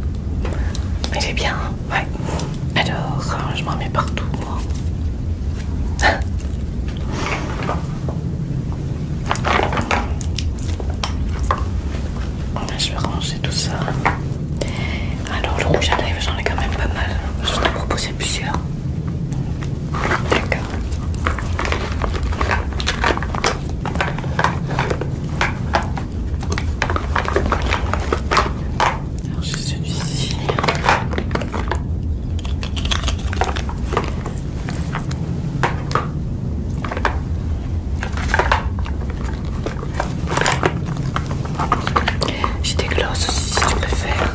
Elle est bien, hein. ouais. Alors, euh, je m'en mets partout, ah. Je vais ranger tout ça. Alors, le rouge à lèvres, j'en ai quand même pas mal. Je vous proposé ai plusieurs. D'accord. Alors j'ai celui-ci. J'ai des glosses aussi si tu préfères.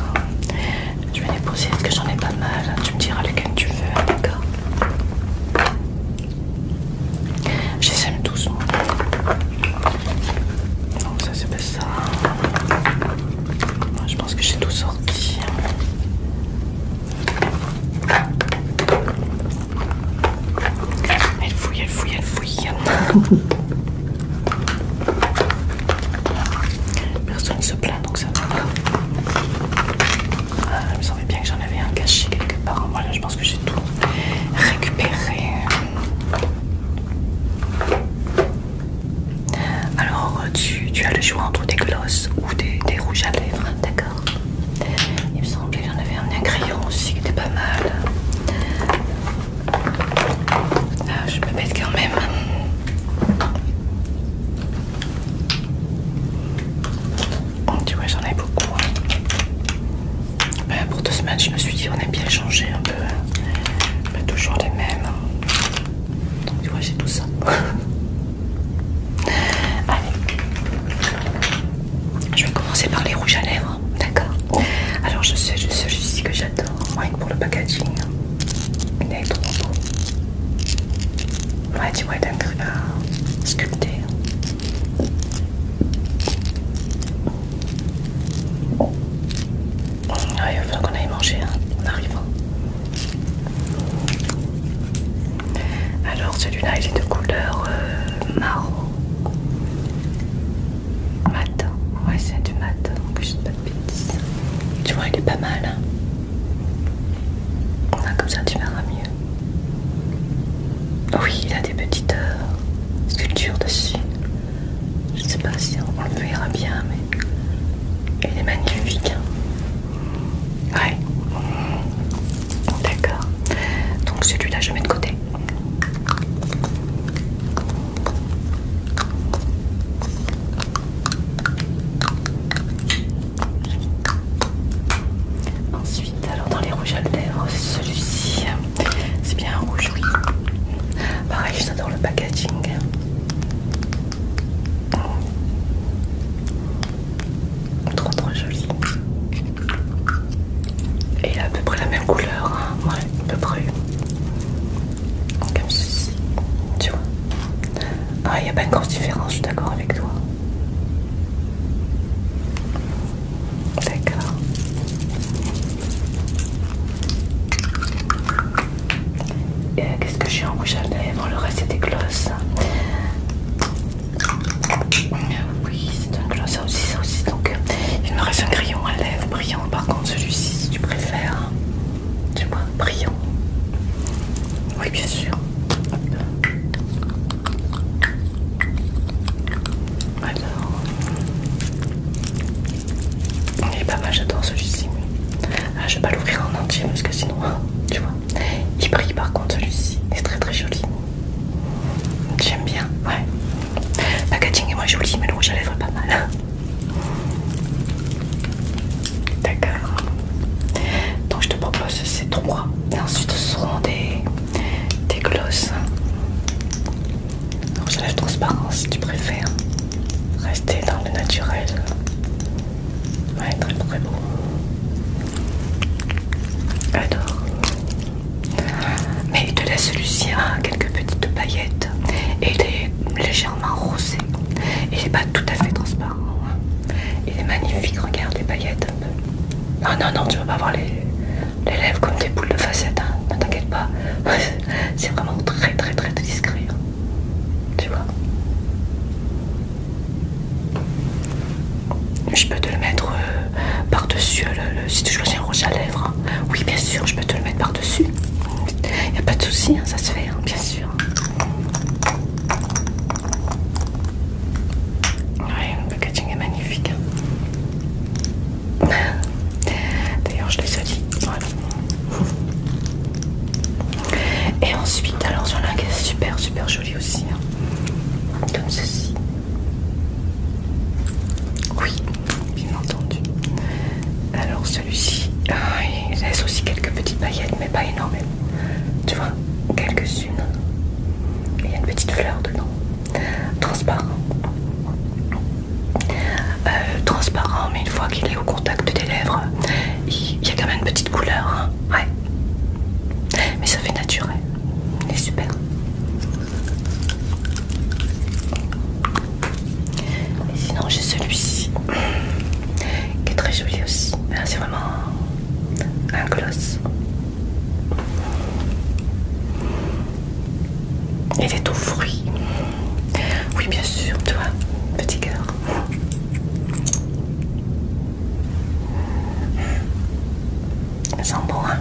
Je vais les poser parce que j'en ai pas mal. Hein. Tu me diras lequel tu veux, hein, d'accord Je les aime tous. Moi. Non, ça c'est pas ça. je pense que j'ai tout sorti. Elle fouille, elle fouille, elle fouille. [laughs] Personne ne se plaint donc ça va. Ah, il me semblait bien que j'en avais un caché quelque part. Voilà, je pense que j'ai tout récupéré. Alors, tu, as le choix entre des glosses ou des, rouges à lèvres, d'accord Il me semblait que j'en avais un, un crayon aussi qui était pas mal. Ah, je me bête quand même. Oh, tu vois j'en ai beaucoup. Hein. Ben, pour deux semaines je me suis dit on a bien changé un peu. Pas hein. ben, toujours les mêmes. Hein. Donc, tu vois j'ai tout ça. [laughs] Allez. Je vais commencer par les rouges à lèvres. D'accord. Oh. Alors je sais je sais que j'adore. Moi, pour le packaging. Il est trop beau Ouais, tu vois, un est à Sculpté Ouais, hein. ah, il va falloir qu'on aille manger On hein, arrive. Alors celui-là il est de couleur euh, marron. Mat. Ouais c'est du mat, donc hein, je ne pas de bêtises. Tu vois il est pas mal. Là, comme ça, tu verras mieux. Oh oui, il a des petites euh, sculptures dessus. Je sais pas si on le verra bien, mais il est magnifique. Hein. Ouais. D'accord. Donc celui-là, je mets de côté. Ensuite, alors dans les rouges à lèvres, celui-ci, c'est bien un rouge, oui. Pareil, j'adore le packaging. Trop trop joli. Et il a à peu près la même couleur, hein. ouais, à peu près. Comme ceci, tu vois. Ah, il n'y a pas une grosse différence, je suis d'accord avec toi. D'accord. Et euh, Qu'est-ce que j'ai en rouge à lèvres Le reste, c'est des glosses. Oui, c'est un gloss, ça aussi, ça aussi. Donc, il me reste un crayon à lèvres brillant, par contre, celui-ci, si tu préfères. Tu vois, brillant. Oui, bien sûr. Alors, il est pas mal, j'adore celui-ci. Ah, je vais pas l'ouvrir en entier parce que sinon, [laughs] tu vois, il brille par contre celui-ci. est très très joli. J'aime bien, ouais. Le packaging est moins joli, mais le rouge à pas mal. D'accord. Donc je te propose ces trois. ensuite ce seront des, des glosses. transparence si tu préfères. Rester dans le naturel. Ouais, très très beau. Adore. Mais il te laisse celui quelques petites paillettes. Et il est légèrement rosé. Il n'est pas tout à fait transparent. Il est magnifique, regarde les paillettes non, non, tu vas pas avoir les, lèvres comme des boules de facettes, hein. ne t'inquiète pas. [laughs] C'est vraiment très très très discret. Hein. Tu vois Je peux te le mettre euh, par-dessus euh, le, si tu choisis un rouge à lèvres. Hein. Oui, bien sûr, je peux te le mettre par-dessus. Il n'y a pas de souci, ça se fait, bien sûr le packaging est magnifique. Hein. [laughs] D'ailleurs, je les ai dit. Et ensuite, alors ai un qui est super super joli aussi. Hein. Comme ceci. Oui, bien entendu. Alors celui-ci, ah, il laisse aussi quelques petites paillettes, mais pas énormes, tu vois, quelques-unes. Il y a une petite fleur dedans. Transparent. Euh, transparent, mais une fois qu'il est au contact des lèvres, il y a quand même une petite couleur. Hein. Ouais. Mais ça fait naturel. Il est super. Et sinon j'ai celui-ci qui est très joli aussi. Ah, c'est un colosse Il est au fruits. Oui, bien sûr, toi, petit cœur. Ça sent bon, hein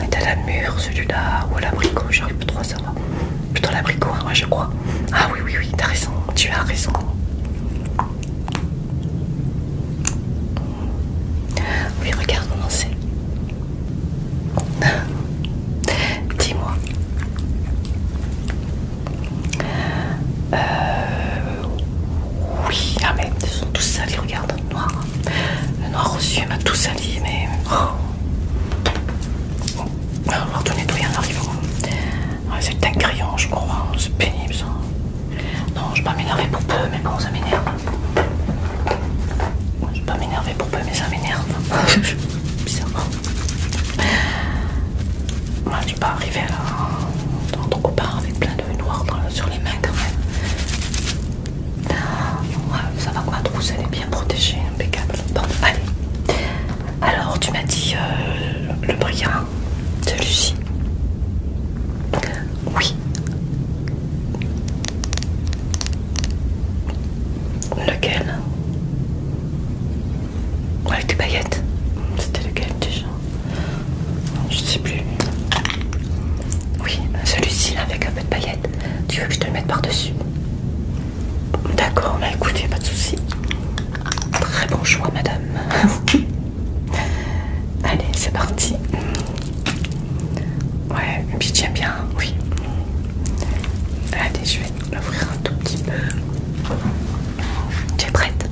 Il est à la mûre celui-là, ou à l'abricot, j'arrive pas trop à savoir. Plutôt l'abricot, moi hein, je crois. Ah oui, oui, oui, t'as raison, tu as raison. Oui, regarde comment c'est. [laughs] Dis-moi. Euh, oui, ah mais ils sont tous salis, regarde, le noir. Le noir aux yeux m'a tout sali, mais... Oh. On va tout tout en arrivant. C'est un crayon, je crois. C'est pénible ça. Non, je vais pas m'énerver pour peu, mais bon, ça m'énerve. Je vais pas m'énerver pour peu, mais ça m'énerve. [laughs] Bizarrement. On je ne pas arriver à dans ton copain avec plein de noir sur les mains quand même. ça va quoi, trousse, elle est bien protégée, impeccable. Bon, allez. Alors, tu m'as dit euh, le brillant. celui-ci. Oui. Lequel Avec des paillettes C'était lequel déjà Je sais plus. Oui, celui-ci avec un peu de baguette. Tu veux que je te le mette par-dessus D'accord, bah écoutez, pas de souci. Très bon choix, madame. [laughs] Allez, c'est parti. Ouais, puis tiens bien, oui. Allez, je vais l'ouvrir un tout petit peu. Tu es prête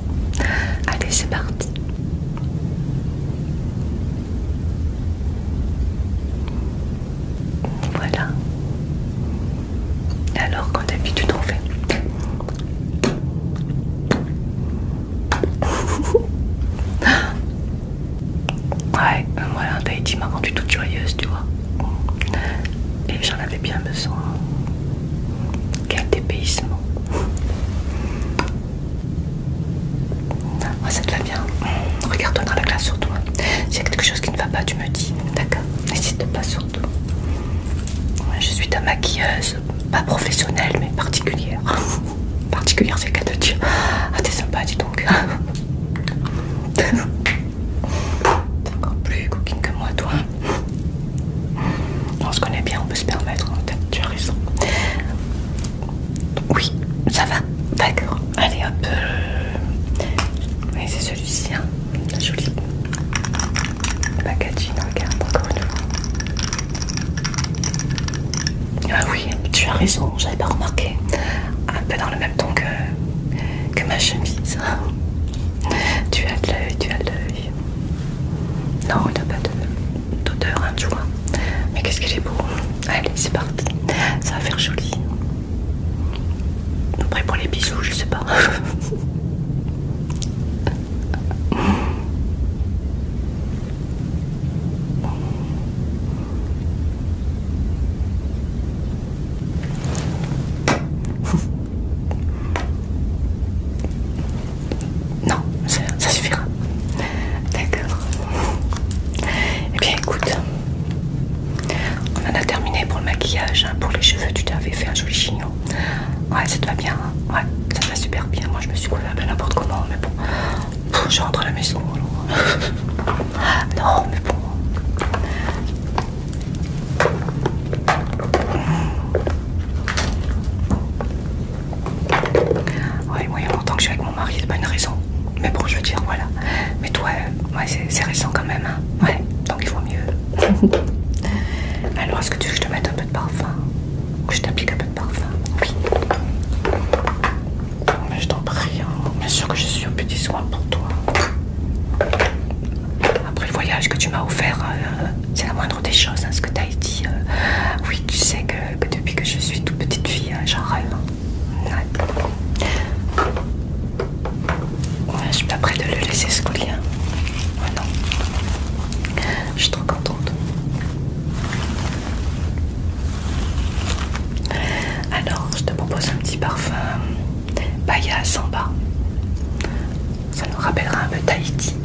Allez, c'est parti. Voilà alors quand t'as d'habitude tu fait. [laughs] ouais, euh, voilà, Tahiti m'a rendue toute joyeuse, tu vois. Et j'en avais bien besoin. Quel dépaysement. ça te va bien. Regarde-toi dans la glace surtout. S'il y a quelque chose qui ne va pas, tu me dis. D'accord N'hésite pas, je suis ta maquilleuse, pas professionnelle mais particulière. [laughs] particulière, c'est le cas de Ah, t'es sympa, dis donc. [laughs] t'es encore plus coquine que moi, toi. On se connaît bien, on peut se permettre, hein, tu as raison. Oui, ça va, d'accord. Allez hop. Euh, c'est celui-ci, hein. joli. Le packaging, regarde encore une fois. Ah oui, tu as raison, j'avais pas remarqué. Un peu dans le même ton que, que ma chemise. [laughs] tu as de l'œil, tu as de l'œil. Non, il n'a pas d'odeur, hein, tu vois. Mais qu'est-ce que est beau. Allez, c'est parti. Ça va faire joli. Après pour les bisous, je sais pas. [laughs] [laughs] Non, ça, suffira. D'accord. Eh bien écoute, on en a terminé pour le maquillage, hein, pour les cheveux, tu t'avais fait un joli chignon. Ouais, ça te va bien. Hein. ouais, ça te va super bien. Moi, je me suis coulée à n'importe comment, mais bon, je rentre à la maison. [laughs] non, mais bon. Ouais, moi, il y que je suis avec mon mari, c'est pas une raison. Mais bon, je veux dire, voilà. Mais toi, euh, ouais, c'est récent quand même. Hein. ouais, donc il vaut mieux. [laughs] Alors, est-ce que tu veux que je te mette un peu de parfum Que je t'applique un peu de parfum Oui. Mais je t'en prie, hein. bien sûr que je suis au petit soin pour toi. Après le voyage que tu m'as offert, euh, c'est la moindre des choses, hein, ce que tu as dit. Euh. oui, tu sais que, depuis que je suis toute petite fille, hein, j'en rêve. je suis pas prête de le laisser ce coller. non. Je suis trop contente. Alors, je te propose un petit parfum en bas Ça nous rappellera un peu Tahiti.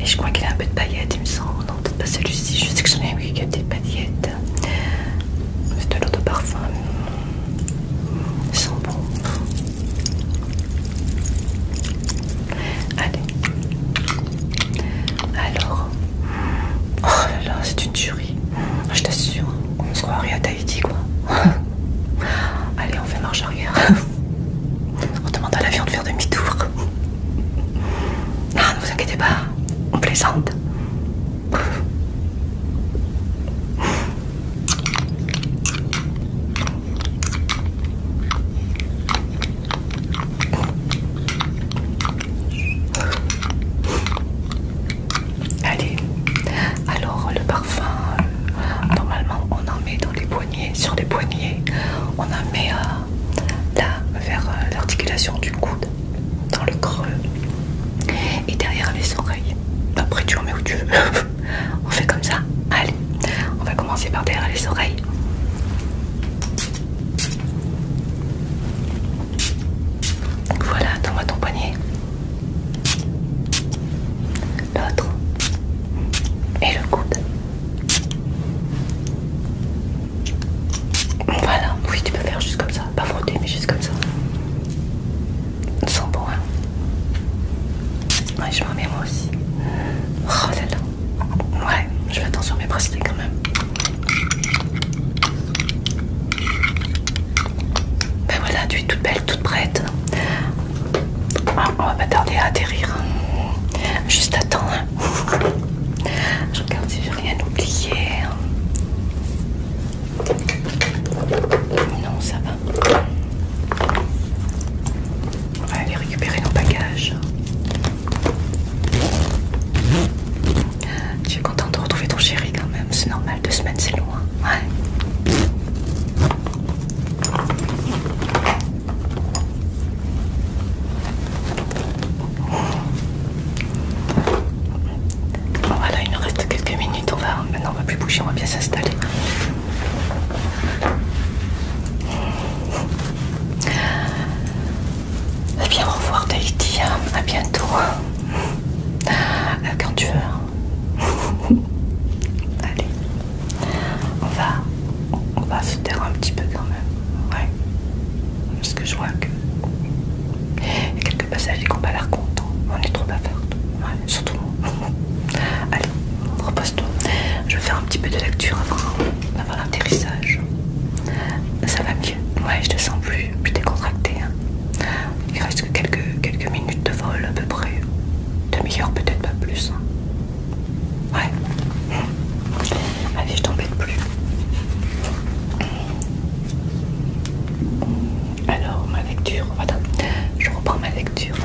Et je crois qu'il a un peu de paillettes, il me semble. Non, peut-être pas celui-ci. Je sais que j'en ai un qui a des paillettes. C'est de l'eau de parfum. Ils sont Allez. Alors. Oh là là, c'est une tuerie. Je t'assure, on se croirait à Tahiti quoi. [laughs] Allez, on fait marche arrière. [laughs] On demande à l'avion de faire demi-tour. [laughs] Ah, ne vous inquiétez pas, on plaisante. Allez, alors le parfum, euh, normalement on en met dans les poignets, sur les poignets, on en met euh, là vers euh, l'articulation du coude dans le creux et derrière les oreilles. Bah, après, tu en mets où tu veux. [laughs] on fait comme ça. Allez, on va commencer par derrière les oreilles. voilà, donne-moi ton poignet. L'autre. Et le coude. Voilà, oui tu peux faire juste comme ça, pas frotter mais juste comme ça. Sans bon hein. Ouais je m'en remets moi aussi. Oh là là. Ouais, je fais attention à mes bracelets quand même. Ben voilà, tu es toute belle, toute prête. Ah, on va pas tarder à atterrir. Hein. Juste attends. Hein. Je regarde si j'ai rien oublié. Non, ça va. On va aller récupérer nos bagages. Tu es contente de retrouver ton chéri quand même. C'est normal, deux semaines c'est loin. Ouais. Bon voilà, il nous reste quelques minutes, on va maintenant on va plus bouger, on va bien s'installer. Eh bien au revoir Tahiti, hein. à bientôt. Euh, quand tu veux. Hein. [laughs] Allez. On va. On va se taire un petit peu quand même. Ouais. Parce que je vois que. y a quelques passagers qui n'ont pas l'air contents. On est trop faire. Ouais, surtout moi. [laughs] Allez, repose-toi. Je vais faire un petit peu de lecture avant, l'atterrissage. Ça va mieux. Ouais, je te sens plus, plus décontracté. Hein. Il reste que quelques, quelques minutes de vol à peu près. Demi-heure, peut-être pas plus. Hein. Ouais. Allez, je t'embête plus. Alors, ma lecture, je reprends ma lecture.